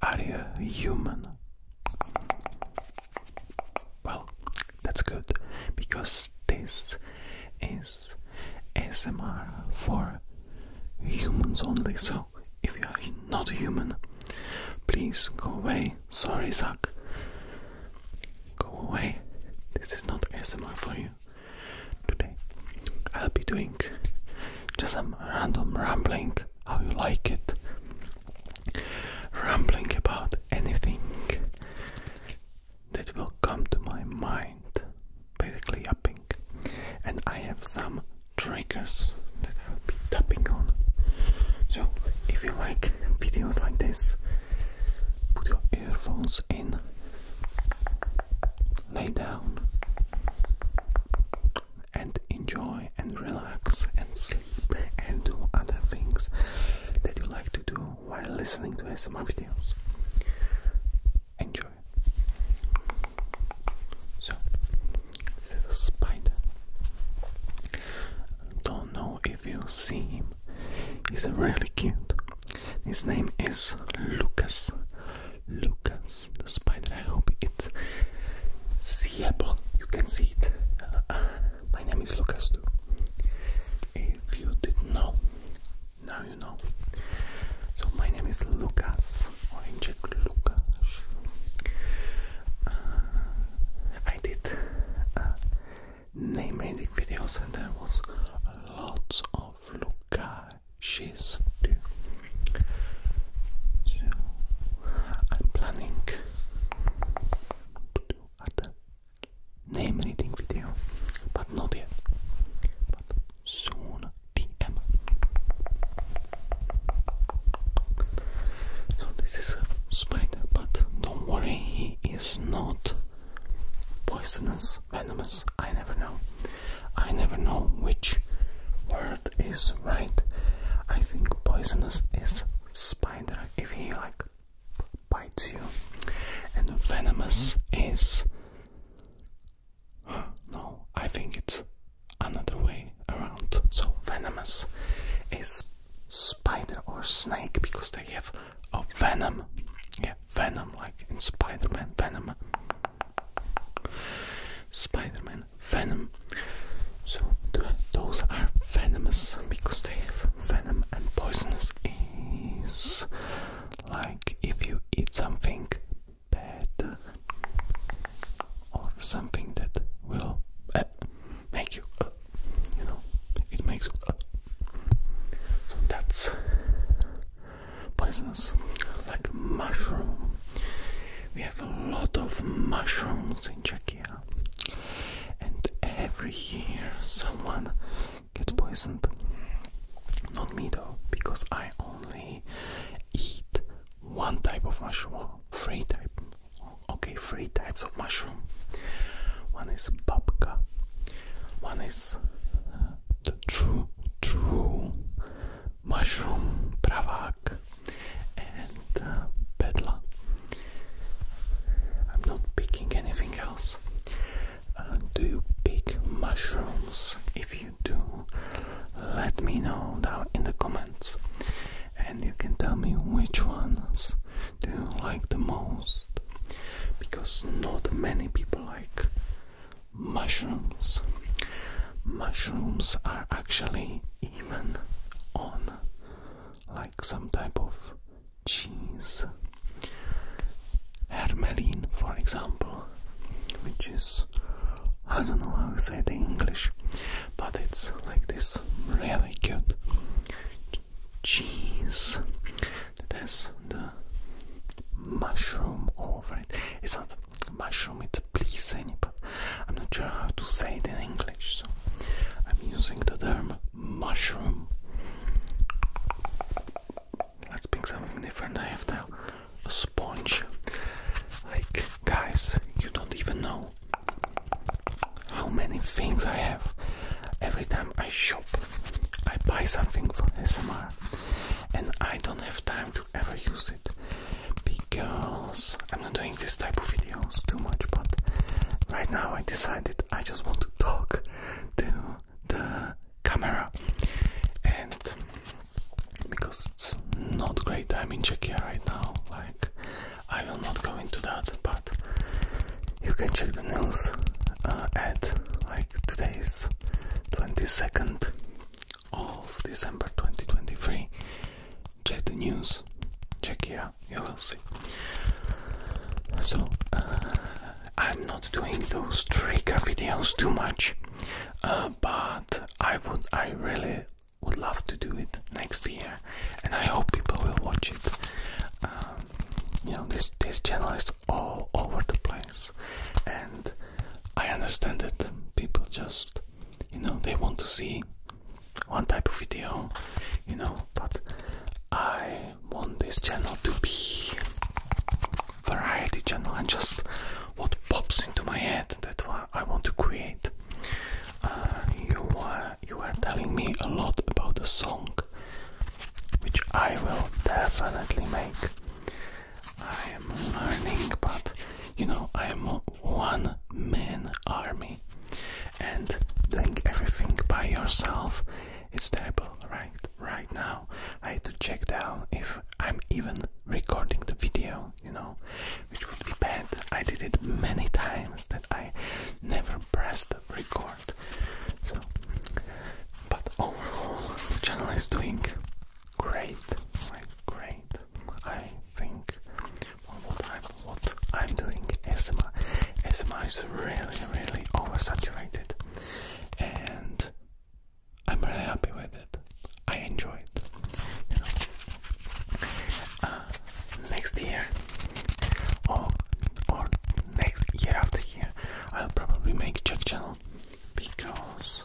Are you human? Well, that's good because this is SMR for humans only. So if you are not human, please go away. Sorry, Zach. Go away. This is not SMR for you. Today I'll be doing just some random rambling, how you like it, rambling about anything that will come to my mind, basically yapping. And I have some triggers that I'll be tapping on. So if you like videos like this, put your earphones in lay down and enjoy and relax and sleep and do other things that you like to do while listening to SMR videos. Enjoy. So, this is a spider. Don't know if you see him. He's really cute. His name is Lucas. Lucas the spider. I hope it's seeable. You can see it. Uh, uh, my name is Lucas too. If you didn't know, now you know. So my name is Lucas, or Lucas. Uh, I did name editing videos, and there was lots of Lucas she's due. So I'm planning to do other name anything video, but not yet. But soon DM. So this is a spider, but don't worry, he is not poisonous, venomous. I never know. I never know which word is right. I think poisonous is spider if he like bites you, and venomous is. No, I think it's another way around. So venomous is spider or snake because they have a venom. Yeah, venom like in Spider-Man venom. Spider-Man Venom. So those are venomous because they have venom and poisonous is like if you eat something bad or something that will eh, make you uh, you know it makes uh. so that's poisonous, like mushroom. We have a lot of mushrooms in Czechia, and every year someone gets poisoned. Not me though, because I only eat one type of mushroom, three types. Okay, three types of mushroom. One is babka. One is uh, the true, true Mushroom Pravak and uh, I'm not picking anything else. Uh, do you pick mushrooms? If you do, let me know down in the comments and you can tell me which ones do you like the most because not many people like mushrooms. Mushrooms are actually even on like some type of cheese. Hermelin, for example, which is I don't know how to say it in English, but it's like this really cute cheese that has mushroom over oh, it. It's not mushroom, it's please anybody. I'm not sure how to say it in English, so I'm using the term mushroom. Let's pick something different. I have a sponge. Like, guys, you don't even know how many things I have. Every time I shop, I buy something for SMR, and I don't have time to ever use it because I'm not doing this type of videos too much, but right now I decided I just want to talk to the camera and because it's not great I'm in Czechia right now, like I will not go into that, but you can check the news uh, at like today's 22nd of December 2023. Check the news, check here, you will see. So, uh, I'm not doing those trigger videos too much, uh, but I would, I really would love to do it next year, and I hope people will watch it. Um, you know, this this channel is all over the place, and I understand it. People just, you know, they want to see one type of video, you know, but I want this channel to be variety channel and just what pops into my head that I want to create. Uh, you were you are telling me a lot about the song, which I will definitely make. I am learning, but you know, I am one man army, and doing everything by yourself is terrible, right? Right now, I had to check down if I'm even recording the video, you know, which would be bad. I did it many times that I never pressed record. So, but overall, the channel is doing great, great. I think one more time what I'm doing Esma, Esma is really, really oversaturated, and I'm really happy with it. I enjoy it. You know. Uh, next year, or or next year after year, I'll probably make Czech channel because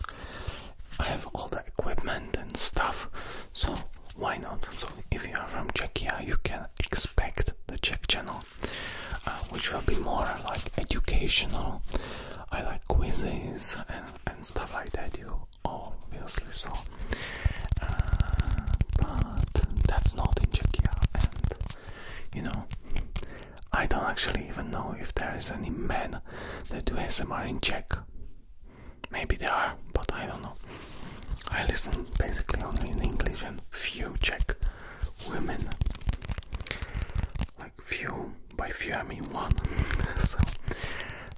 I have all the equipment and stuff, so why not? So, if you are from Czechia, you can expect the Czech channel, uh, which will be more like educational. I like quizzes and, stuff like that, you obviously saw. Uh, but that's not in Czechia, and you know, I don't actually even know if there is any men that do S M R in Czech. Maybe there are, but I don't know. I listen basically only in English and few Czech women. Like few, by few I mean one. so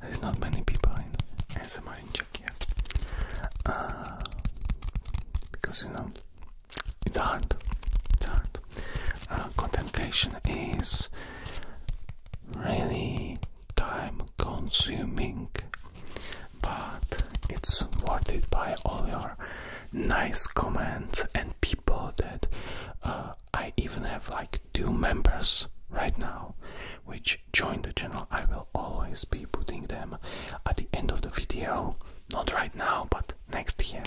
there's not many people in S M R in Czech Uh, because you know, it's hard. It's hard uh, content creation is really time consuming, but it's worth it by all your nice comments and people that uh, I even have like two members right now which joined the channel. I will always be putting them at the end of the video, not right now, but next year.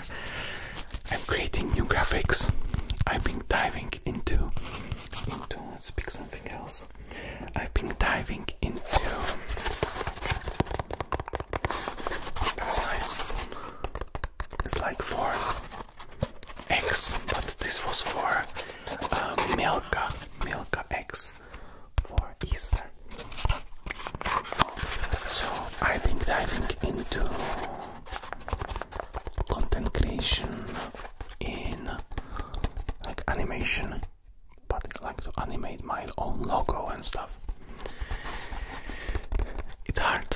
I'm creating new graphics. I've been diving into into let's pick something else. I've been diving into that's nice. It's like for X, but this was for uh, Milka, Milka X for Easter. So I've been diving into content creation in like animation, but I like to animate my own logo and stuff. It's hard,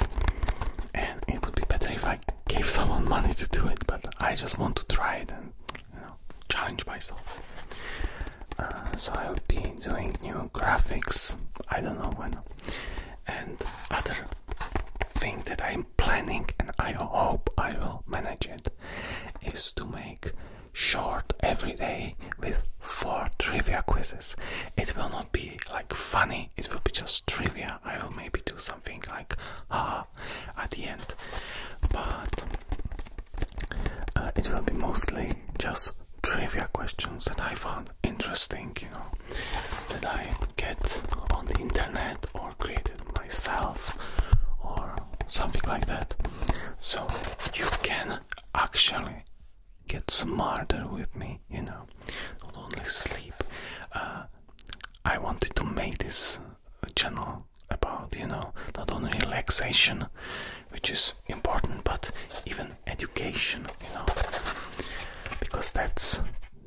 and it would be better if I gave someone money to do it, but I just want to try it and challenge myself. Uh, so I'll be doing new graphics. I don't know when, and other thing that I'm planning and I hope I will manage it is to make short every day with four trivia quizzes. It will not be like funny, it will be just trivia. I will maybe do something like ah at the end. But uh, it will be mostly just trivia questions that I found interesting, you know, that I get on the internet or created myself or something like that. So you can actually get smarter with me, you know, not only sleep. Uh, I wanted to make this channel about, you know, not only relaxation, which is important, but even education, you know, because that's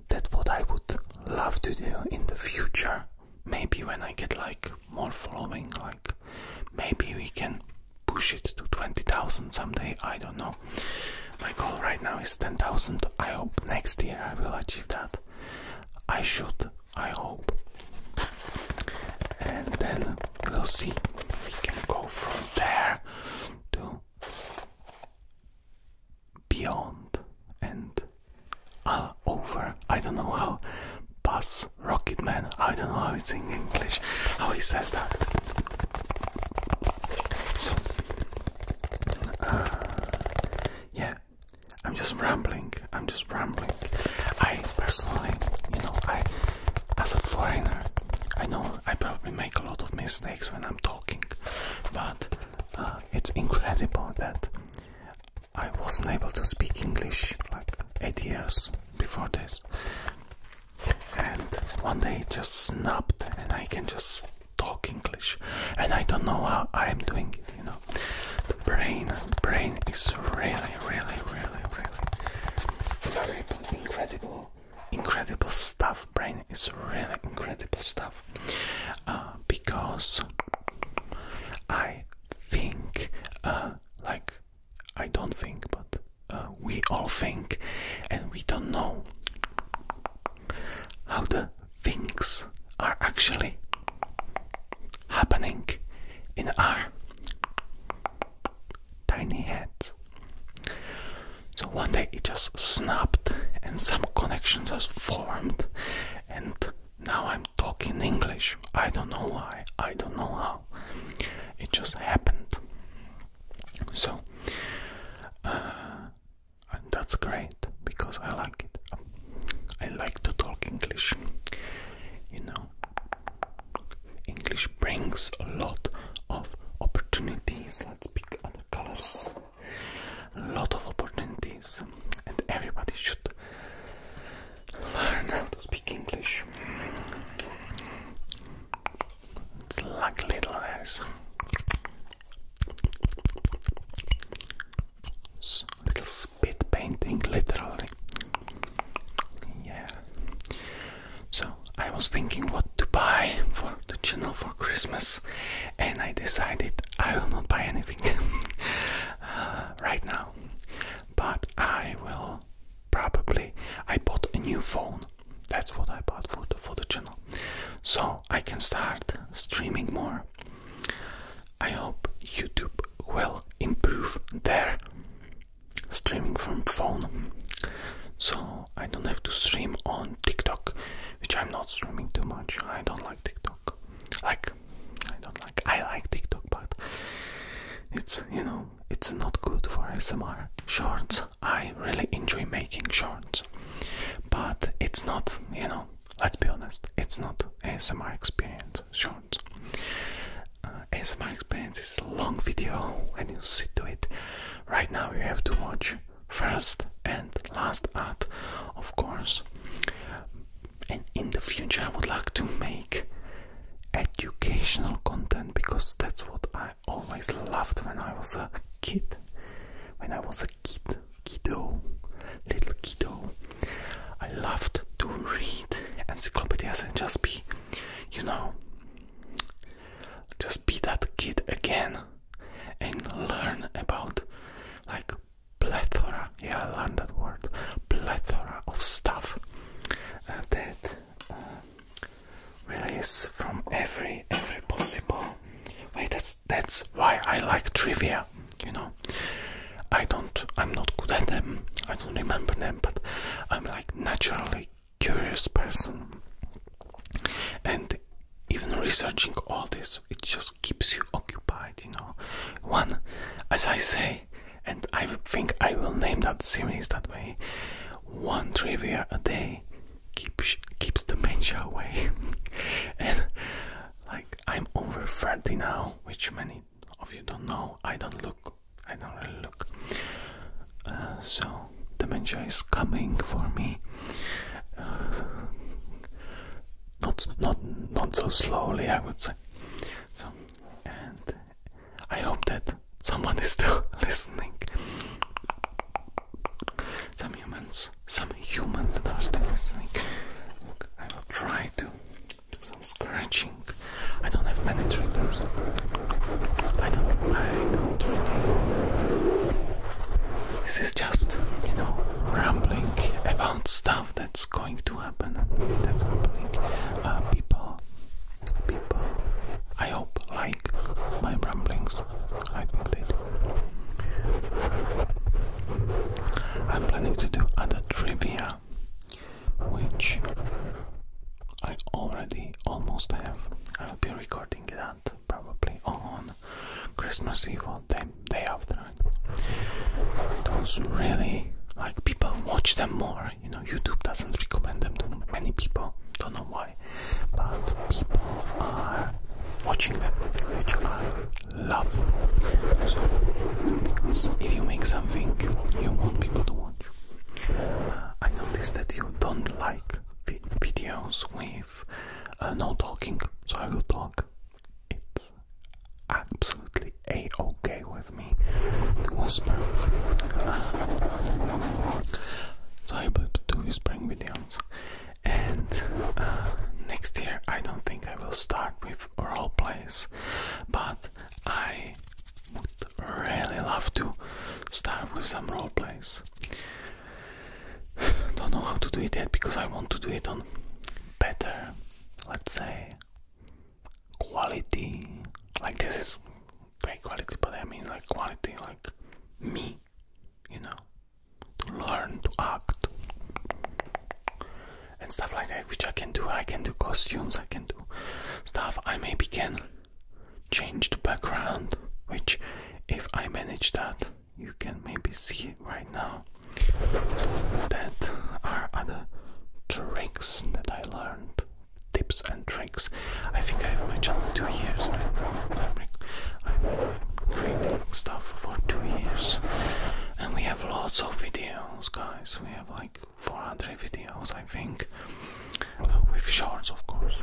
that's what I would love to do in the future. Maybe when I get like more following, like maybe we can push it to 20,000 someday. I don't know. My goal right now is 10,000. I hope next year I will achieve that. I should, I hope. And then we'll see. We can go from there to beyond and all over. I don't know how. Buzz Rocket Man. I don't know how it's in English. How he says that. So, uh, yeah, I'm just rambling. I'm just rambling. I personally, you know, I as a foreigner, I know I probably a lot of mistakes when I'm talking, but uh, it's incredible that I wasn't able to speak English like eight years before this, and one day it just snapped, and I can just talk English, and I don't know how I'm doing it. You know, the brain, brain is really, really, really, really incredible incredible, stuff. Brain is really incredible stuff uh, because I think, uh, like, I don't think, but uh, we all think, and we don't know how the things are actually happening in our tiny head. So one day it just snapped and some connections just formed and now I'm talking English. I don't know why, I don't know how. It just happened. So uh, and that's great because I like it. I like to talk English. You know, English brings a lot of opportunities let's pick other colors. A lot of opportunities, and everybody should learn how to speak English. It's like little eyes. Little spit painting, literally. Yeah. So I was thinking what to buy for the channel for Christmas, and I decided I will not buy anything uh, right now. But I will probably. I bought a new phone. That's what I bought for the, for the channel, so I can start streaming more. I hope YouTube will improve there streaming from phone so I don't have to stream on TikTok which I'm not streaming too much I don't like TikTok like I don't like I like TikTok but it's you know it's not good for ASMR shorts I really enjoy making shorts but it's not you know let's be honest it's not ASMR experience shorts uh, ASMR experience is a long video and you sit to it Right now you have to watch first and last art, of course. And in the future I would like to make educational content because that's what I always loved when I was a kid. When I was a kid, kiddo, little kiddo, I loved to read encyclopedias and just be, you know, just be that kid again and learn about like plethora yeah i learned that word plethora of stuff uh, that uh, release from every every possible Wait, that's that's why i like trivia you know i don't i'm not good at them i don't remember them but i'm like naturally curious person and even researching all this it just keeps you occupied you know one as i say and i think i will name that series that way one trivia a day keeps keeps dementia away and like i'm over 30 now which many of you don't know i don't look i don't really look so dementia is coming for me. Uh, not not not so slowly, I would say. So and I hope that someone is still listening. Some humans, some humans that are still listening. I will try to do some scratching. I don't have many triggers. I don't, I don't really. This is just, you know, rambling about stuff that's going to happen. That's happening. Uh, people, people, I hope like my ramblings. I think I'm planning to do other trivia, which I already almost have. I'll be recording that probably on Christmas Eve or the day after it. Those really like people watch them more. You know, YouTube doesn't recommend them to many people. Don't know why, but people are watching them, which I love. So, because if you make something, you want people to watch. Uh, I noticed that you don't like videos with uh, no talking, so I will talk. It's absolutely a okay with me to whisper. so I will do whispering videos, and uh, next year I don't think I will start with role plays, but I would really love to start with some role plays. Don't know how to do it yet because I want to do it on better, let's say, quality. Like this is great quality, but I mean like quality, like me, you know, to learn to act and stuff like that, which I can do. I can do costumes, I can do stuff. I maybe can change the background, which if I manage that, you can maybe see right now. That are other tricks that I learned, tips and tricks. I think I have my channel two years I'm creating stuff for two years, and we have lots of videos, guys. We have like 400 videos, I think, with shorts, of course.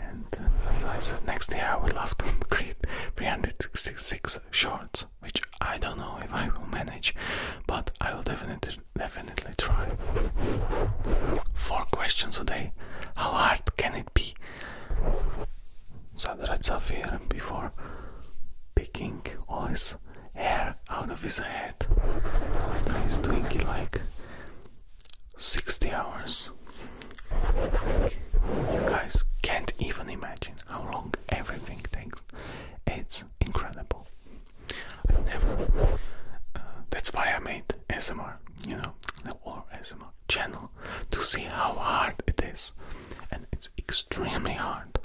And uh, as I said, next year I will have to create 366 shorts, which I don't know if I will manage, but I will definitely definitely try. Four questions a day. How hard can it be? Sadrat Safir before picking all his hair out of his head. He's doing it like 60 hours. You guys can't even imagine how long everything takes. It's incredible. I've never. Uh, that's why I made ASMR, you know, the or ASMR channel to see how hard it is, and it's extremely hard.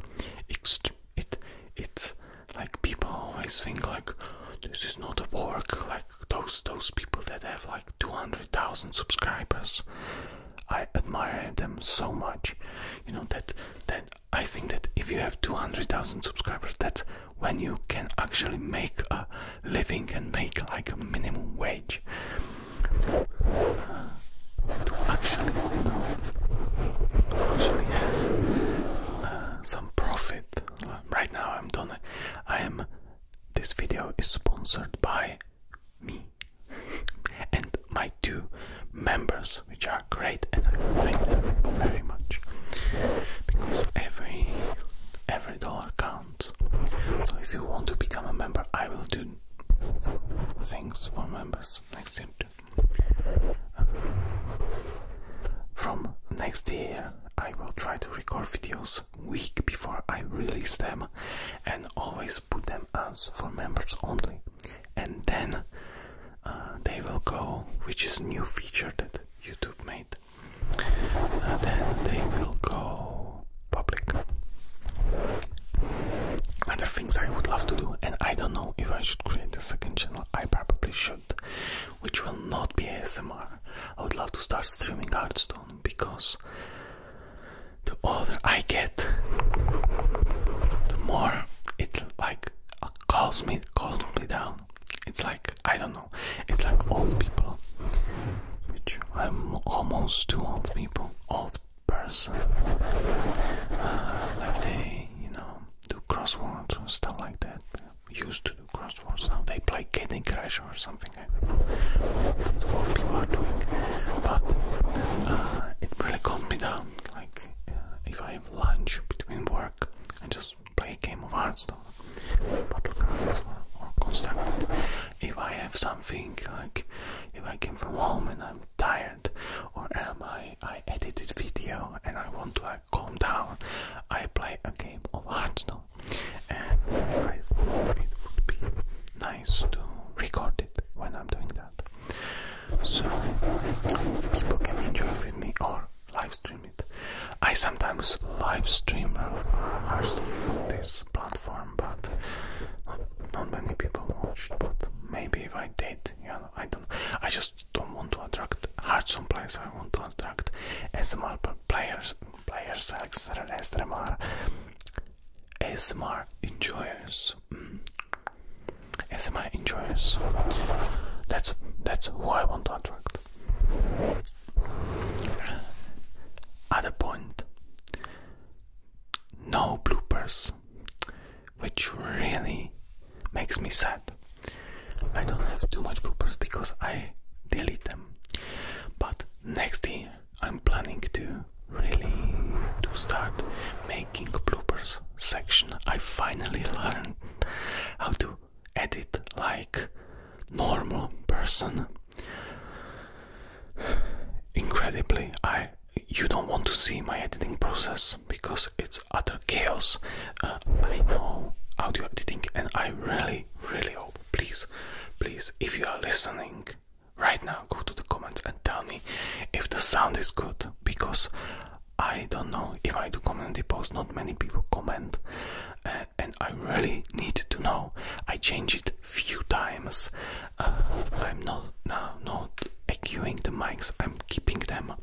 Ext it it's like people always think like this is not a work like those those people that have like 200,000 subscribers I admire them so much you know that that I think that if you have 200,000 subscribers that's when you can actually make a living and make like a minimum wage to actually know actually have uh, some profit right now I'm done. I am. This video is sponsored by me and my two members, which are great, and I thank them very much because every every dollar counts. So if you want to become a member, I will do things for members next year. From next year, I will try to record videos week before I release them and always put them as for members only. And then uh, they will go, which is new feature that YouTube made. Uh, then they will go public. Other things I would love to do, and I don't know if I should create a second channel. I probably should which will not be ASMR. I would love to start streaming Hearthstone because the older I get, the more it like calls me, calls me down. It's like I don't know. It's like old people, which I'm almost too old people, old person. Uh, like they, you know, do crosswords and stuff like that used to do crosswords. Now they play Candy Crush or something. I do what people are doing. But uh, it really calmed me down. Like uh, if I have lunch between work, and just play a game of Hearthstone, Battlegrounds, or, or Constructed. If I have something like if I came from home and I'm tired, or am I I edited video and I want to calm down. I play a game of Hearthstone, and I thought it would be nice to record it when I'm doing that, so people can enjoy with me or live stream it. I sometimes live stream Hearthstone on this platform, but not many people watched. But maybe if I did, yeah, I don't. I just don't want to attract hardson players. I want to attract SMR players, players, extra, SMR, SMR enjoyers, mm. SMR enjoyers. That's that's who I want to attract. At Other point. No bloopers, which really makes me sad. I don't have too much bloopers because I delete them. But next year I'm planning to really to start making bloopers section. I finally learned how to edit like normal person. Incredibly, I you don't want to see my editing process because it's it's utter chaos. Uh, I know audio editing, and I really, really hope, please, please, if you are listening right now, go to the comments and tell me if the sound is good because I don't know if I do community post, not many people comment, uh, and I really need to know. I change it few times. Uh, I'm not now not echoing the mics. I'm keeping them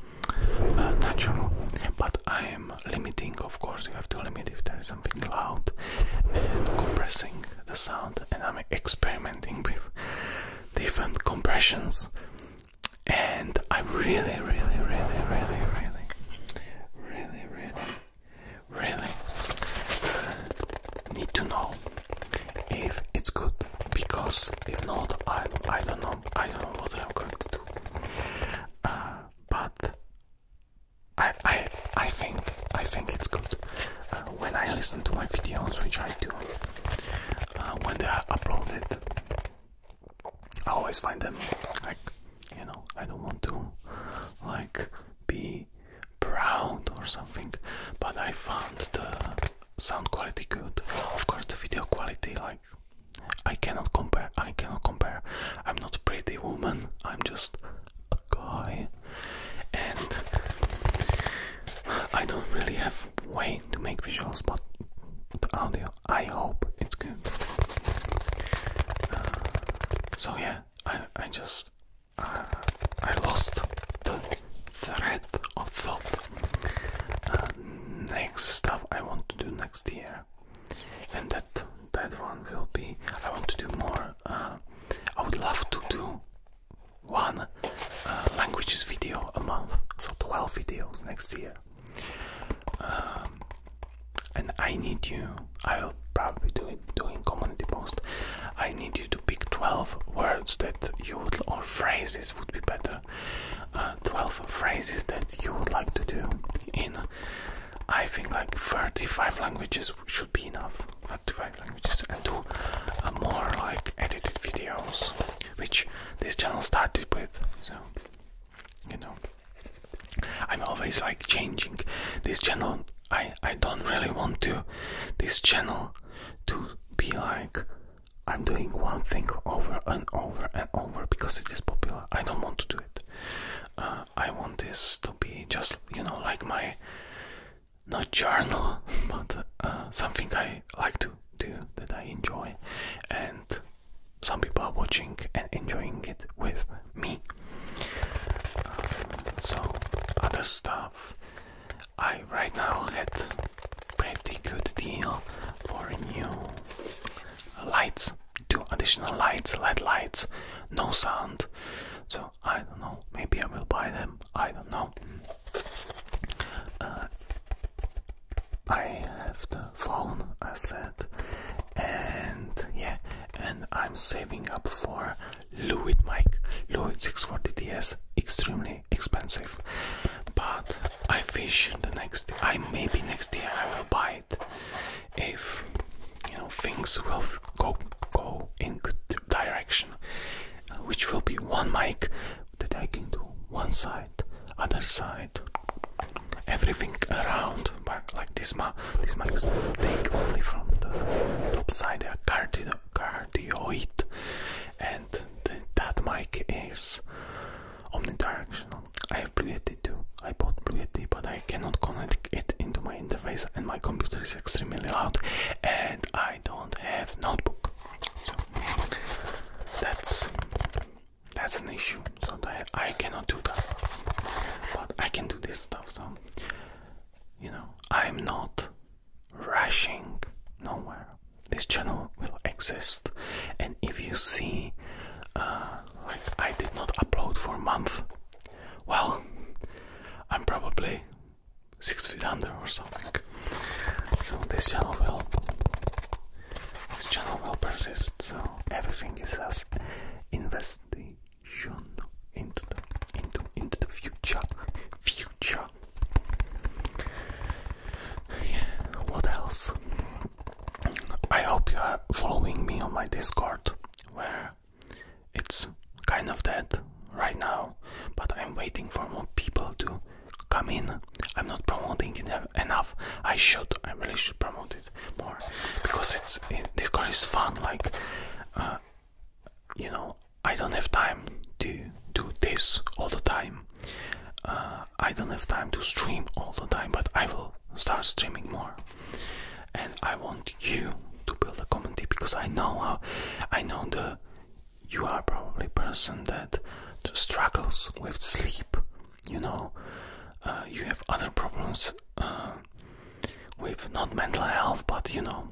uh, natural, but I am limiting, of course, you have to limit if there is something loud, and compressing the sound, and I'm experimenting with different compressions, and I really, really, really, really, really, really, really, really uh, need to know if it's good, because if not, I, I don't know, I don't know what I'm going to do. Uh, but I I I think I think it's good uh, when I listen to my videos, which I do uh, when they are uploaded. I always find them like you know I don't want to like be proud or something, but I found the sound quality good. Of course, the video quality like I cannot compare. I cannot compare. I'm not a pretty woman. I'm just a guy, and I don't really have way to make visuals, but the audio. I hope it's good. Uh, so yeah, I I just uh, I lost the thread of thought. Uh, next stuff I want to do next year and that that one will be I want to do more uh, I would love to do one uh, languages video a month so 12 videos next year um, and I need you I'll probably do it doing community post I need you to pick 12 words that you or phrases would be better uh, 12 phrases that you would like to do in I think like 35 languages should be enough 35 languages and do uh, more like edited videos which this channel started with so you know I'm always like changing this channel I I don't really want to this channel to be like I'm doing one thing over and over and over because it is popular I don't want to do it. Uh, I want this to be just, you know, like my not journal, but uh, something I like to do that I enjoy, and some people are watching and enjoying it with me. Um, so, other stuff. I right now had pretty good deal for you lights, two additional lights, LED lights, no sound. So I don't know. Maybe I will buy them. I don't know. Uh, I have the phone, I said, and yeah, and I'm saving up for Lewitt mic. Lewitt 640 DTS, extremely expensive, but I fish the next year. I maybe next year I will buy it if you know things will go go in good direction, which will be one mic that I can do one side, other side, everything around. But like this mic, this mics take only from the top side a cardio cardioid, and that mic is omnidirectional. I have Bluetooth too. I bought BlueFD, but I cannot connect it into my interface, and my computer is extremely loud, and I don't have notebook. So that's that's an issue. So that I cannot do that, but I can do this stuff. So you know, I'm not rushing nowhere. This channel will exist, and if you see uh, I did not upload for a month. Well, I'm probably six feet under or something. So this channel will this channel will persist. So everything is as investigation into the into into the future future. what else? I hope you are following me on my Discord, where it's kind of dead right now, but I'm waiting for more people to come in. I'm not promoting it enough. I should. I really should promote it more because it's Discord is fun. Like, uh, you know, I don't have time to do this all the time. Uh, I don't have time to stream all the time, but I will start streaming more. And I want you to build a community because I know how, I know the you are probably a person that struggles with sleep. You know, uh, you have other problems uh, with not mental health, but you know,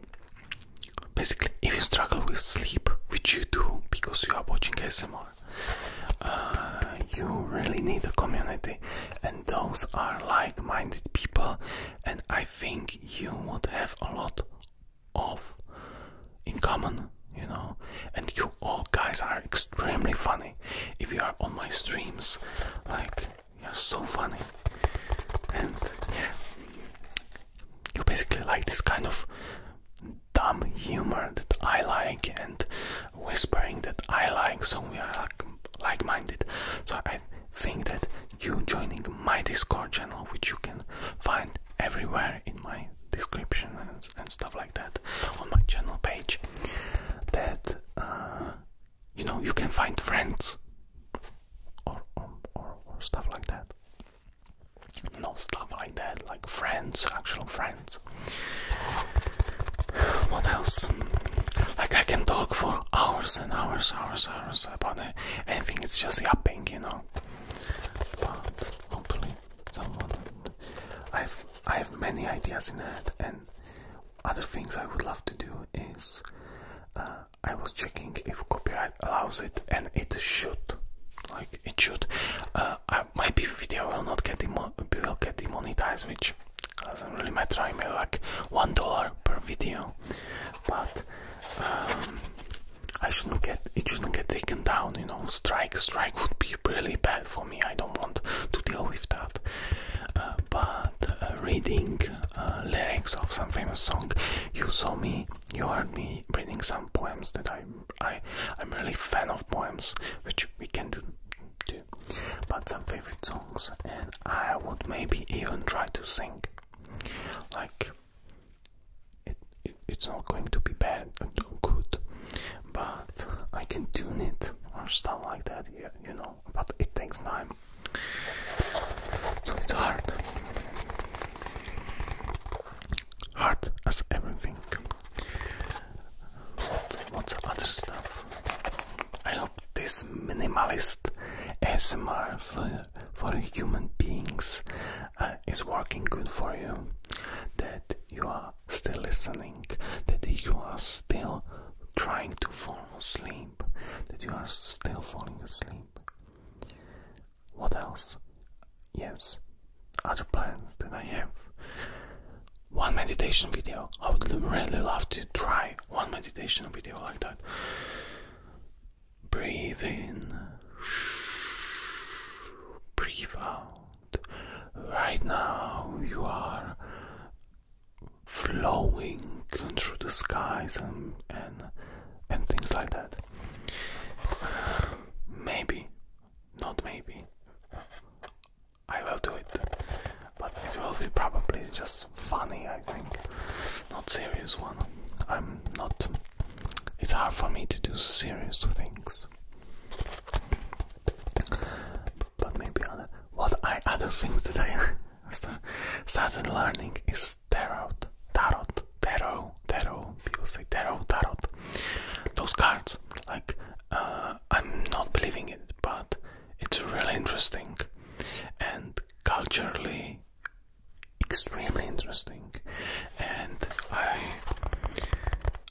basically, if you struggle with sleep, which you do because you are watching ASMR, uh, you really need a community and those are like-minded people and i think you would have a lot of in common you know and you all guys are extremely funny if you are on my streams like you're so funny and yeah you basically like this kind of dumb humor that I like and whispering that I like, so we are like, like minded. So I think that you joining my Discord channel, which you can find everywhere in my description and, and stuff like that on my channel page, that uh, you know you can find friends or, or, or, or stuff like that. No stuff like that, like friends, actual friends. What else? Like I can talk for hours and hours, hours, hours about anything. It's just yapping, you know. But hopefully, someone. I've I have many ideas in head, and other things I would love to do is. Uh, I was checking if copyright allows it, and it should. Like it should. Uh, I, my video will not get will get demonetized, which doesn't really matter. I made like one dollar per video, but um, I shouldn't get it shouldn't get taken down. You know, strike strike would be really bad for me. I don't want to deal with that. Uh, but uh, reading uh, lyrics of some famous song, you saw me, you heard me reading some poems that I I I'm really fan of poems, which we can do, do, but some favorite songs, and I would maybe even try to sing. Like it, it's not going to be bad, uh, good, but I can tune it or stuff like that. Yeah, you know, but it takes time, so it's hard hard as everything. What, what's other stuff? I hope this minimalist ASMR for, human beings uh, is working good for you. That you are still listening, that you are still trying to fall asleep, that you are still falling asleep. What else? yes, other plans that I have. One meditation video. I would really love to try one meditation video like that. Breathe in, breathe out. Right now, you are flowing through the skies and and, and things like that. Maybe not maybe. I will do it. But it will be probably just funny, I think. Not serious one. I'm not. It's hard for me to do serious things. But maybe other. What I other things that I started learning is tarot. Tarot. Tarot. Tarot. People say tarot. Tarot. Those cards. Like uh, I'm not believing it, but it's really interesting and culturally extremely interesting. And I,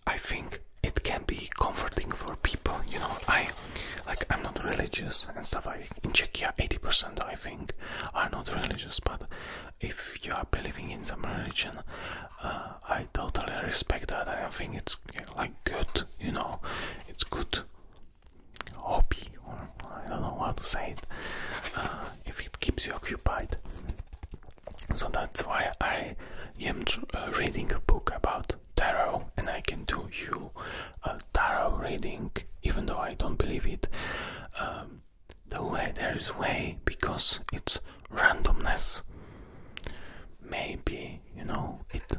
I think it can be comforting for people. You know, I like I'm not religious and stuff. Like in Czechia, 80% I think are not religious, but if you are believing in some religion. Uh, I totally respect that. I think it's like good, you know, it's good hobby, or I don't know how to say it, uh, if it keeps you occupied. So that's why I am uh, reading a book about tarot, and I can do you a tarot reading, even though I don't believe it. Um, the way there is way because it's randomness. Maybe you know it.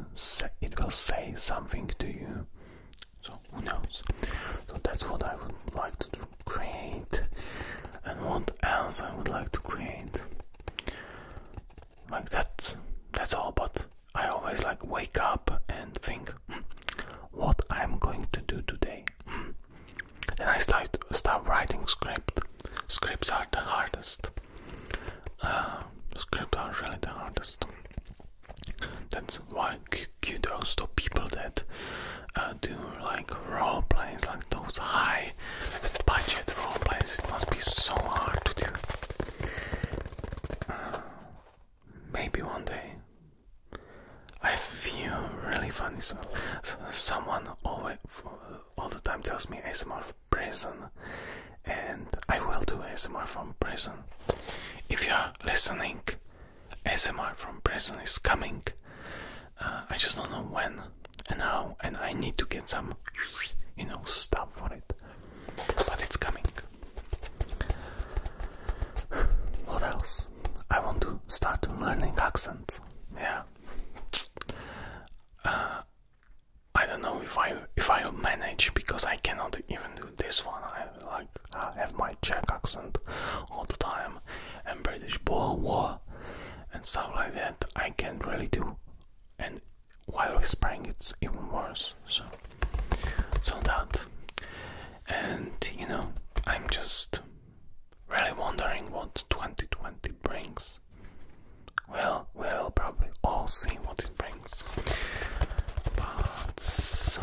it will say something to you. So who knows? So that's what I would like to create, and what else I would like to create. Like that. That's all. But I always like wake up and think, hmm, what I'm going to do today. Hmm and I start start writing script. Scripts are the hardest. Uh, scripts are really the hardest. That's why you kudos to people that uh, do like role plays, like those high budget role plays. It must be so hard to do. Uh, maybe one day. I feel really funny. So, someone always all the time tells me SMR from prison, and I will do SMR from prison. If you are listening, SMR from prison is coming. Uh, I just don't know when and how, and I need to get some, you know, stuff for it. But it's coming. What else? I want to start learning accents. Yeah. I don't know if I if I'll manage because I cannot even do this one. I like have my Czech accent all the time and British blah "war" and stuff like that. I can't really do, and while whispering, it's even worse. So, so that, and you know, I'm just really wondering what 2020 brings. Well, we'll probably all see what it brings. But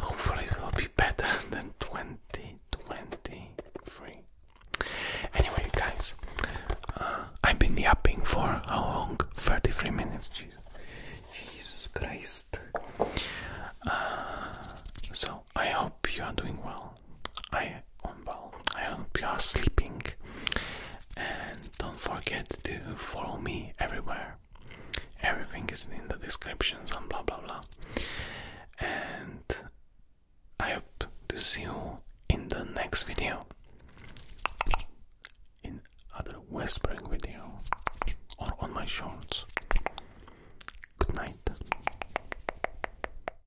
hopefully, it will be better than 2023. Anyway, guys, uh, I've been yapping for how long? 33 minutes, Jesus, Christ. Uh, so, I hope you are doing well. I on well. I hope you are sleeping. And don't forget to follow me everywhere. Everything is in the descriptions and blah blah blah. And I hope to see you in the next video. In other whispering video or on my shorts. Good night.